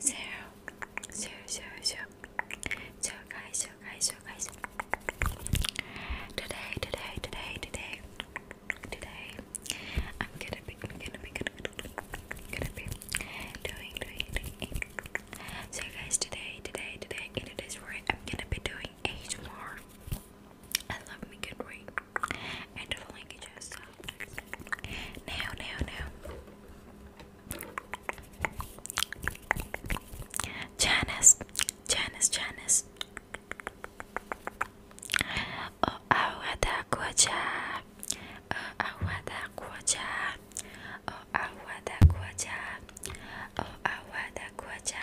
zero, zero, zero, zero, zero, guys, zero, guys, zero, guys. Today, today, today, today, today, I'm gonna be, I'm gonna be, gonna, gonna be doing, doing, doing. So, guys, today, today, today, in today's work, I'm gonna be doing eight more. I love making rain and following each other. Now, now, now. Janice, Janice, Janice. Oh, awada kwaja. Oh, awada kwaja. Oh, awada kwaja. Oh, awada kwaja.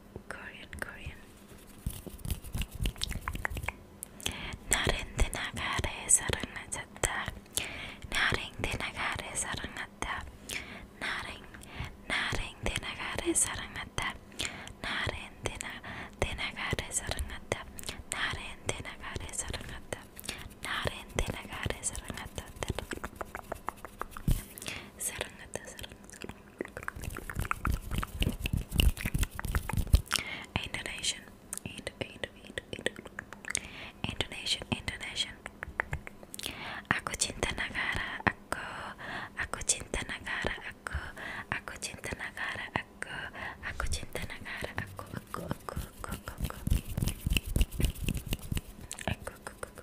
Korean, Korean. 나른데나가래 사랑하셨다. 나른데나가래 사랑하다. 나른 나른데나가래 사랑하다. 나른데나가래 사랑하다. 나른데나가래 사랑하다. 나른데나가래 사랑하다. Serengeta, Serengeta. Indonesian, Ind, Ind, Ind, Ind. Indonesian, Indonesian. Aku cinta negara aku, aku cinta negara aku, aku cinta negara aku, aku cinta negara aku, aku, aku, aku, aku, aku, aku, aku,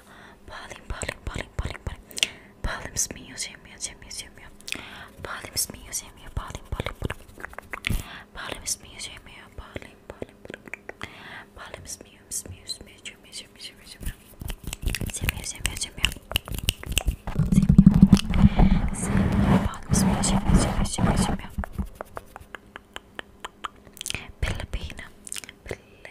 museum, Palim, Palim, Palim, Palim, Palim, Palim's museum, museum, museum, Palim's museum, Palim, Palim, Palim, Palim's museum, Palim, Palim, Palim's museum, museum, museum, museum, museum, museum, museum, museum, Palim's museum, museum, museum, museum, Pilipina, Pilipina,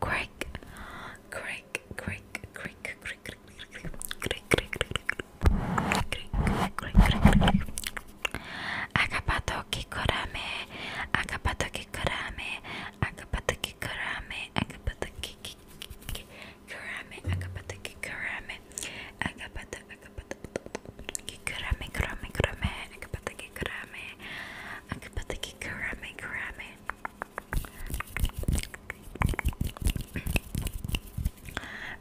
Crick, crick, crick, crick, crick, crick, crick, crick, crick, Akapato kikorame, akapato kikorame, akapato kikorame, akapato kikorame, akapato kikorame, akapato kikurame kurame kurame akapata kikurame akapata kikurame kurame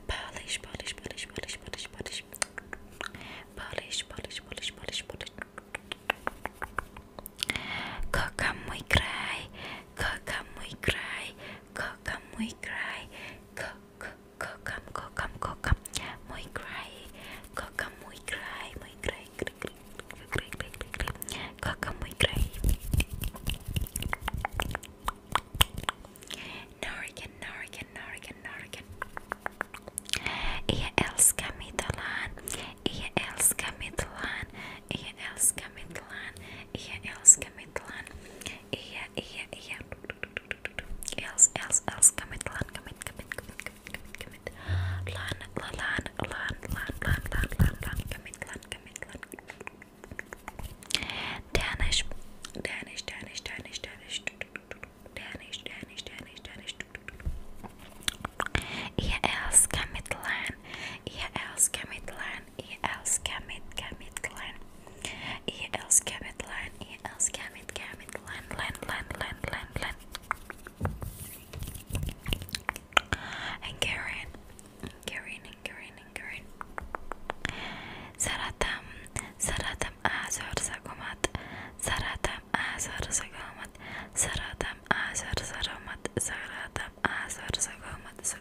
polish polish polish polish polish polish polish polish polish polish polish koka mój kraj koka mój kraj koka mój kraj koka kokam kokam kokam muy cry kokam muy cry muy cry kokam muy cry Norgan Norgan Norgan Norgan Ia älskar mitt land Ia älskar mitt land Ia älskar mitt land Ia älskar mitt land Iya, iya, iya. Els, Els, Els, come in, come in, come in, come in, come in, come in, come in. Lan, lan, lan, lan, lan, lan, lan, lan, lan, come in, lan, come in, lan. Danish, Danish, Danish, Danish, Danish, Danish, Danish, Danish, Danish. Ihr Els, come in, lan. Ihr Els, come in, lan. EL Scammit Gamit Clan EL Scammit Land EL Scammit Gamit Land Land Land Land Land Land and Karen Karen and Karen and Karen Saratam Saratam Azor Sagomat Saratam Azor Sagomat Saratam Azor Sagomat Saratam Azor Sagomat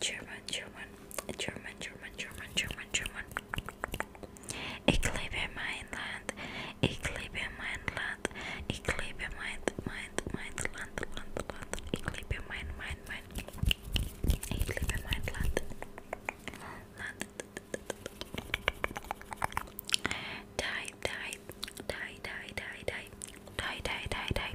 German, German, German, German, German, German, German. Ich liebe mein Land, ich liebe mein Land, ich liebe mein, mein, mein Land, Land, Land, ich liebe mein, mein, mein, ich liebe mein Land, Land. Die, die, die, die, die, die, die, die, die, die.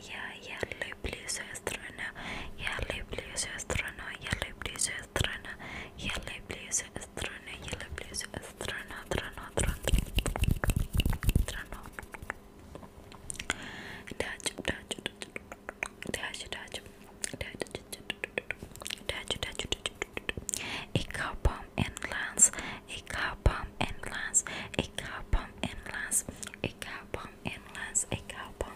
я, я люблю свою страну, я люблю свою страну, я люблю свою страну, я люблю свою страну, я люблю свою страну, страну, страну, страну. Дачу, дачу, дачу, дачу, dutch dutch ik hou bom en glans ik hou bom en glans ik hou bom en glans ik hou bom en glans ik hou bom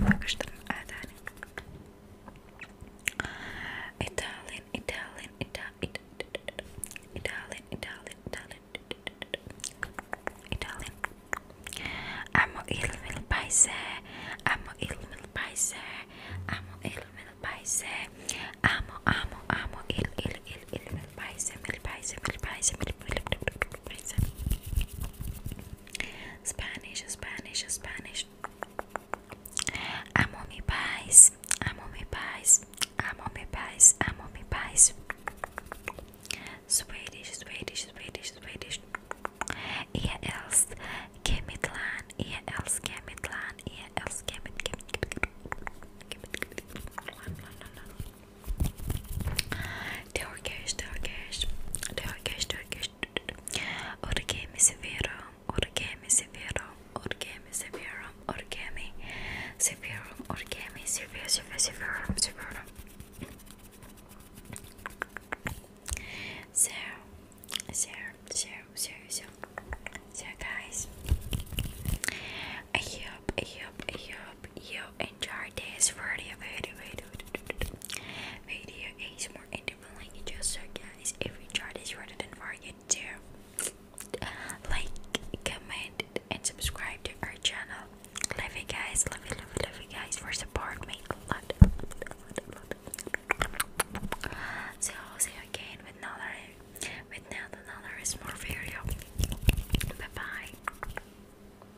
Pakistan Adani Italian Italian Italian Italian Italian Italian Italian Amo ilmi l-pajse Amo ilmi l-pajse Amo ilmi l-pajse Amo amo amo il il il ilmi l-pajse Mil-pajse mil-pajse mil-pajse mil-pajse Spanish, Spanish, Spanish. Amo mi país, amo mi país, amo mi país, amo mi país. Swedish, Swedish, Swedish, Swedish. Ihr else Kemitlan, ihr else Kemitlan, ihr else Kemit, Kemit, Kemit, Kemit, Kemit, Kemit, Kemit, Kemit, Kemit, Turkish, Turkish, Turkish, Turkish. Origami severum, origami severum, origami severum, origami severum, origami severum, severum, severum. So, so, so, so, so, so, guys. I hope, I hope, I hope you enjoy this video, video, video, video is more independently just so guys if you enjoyed this video do forget to like, comment and subscribe to our channel. Love you guys, love you, love you, love you guys for supporting me a lot. So i see you again with another with another another small video. Bye bye.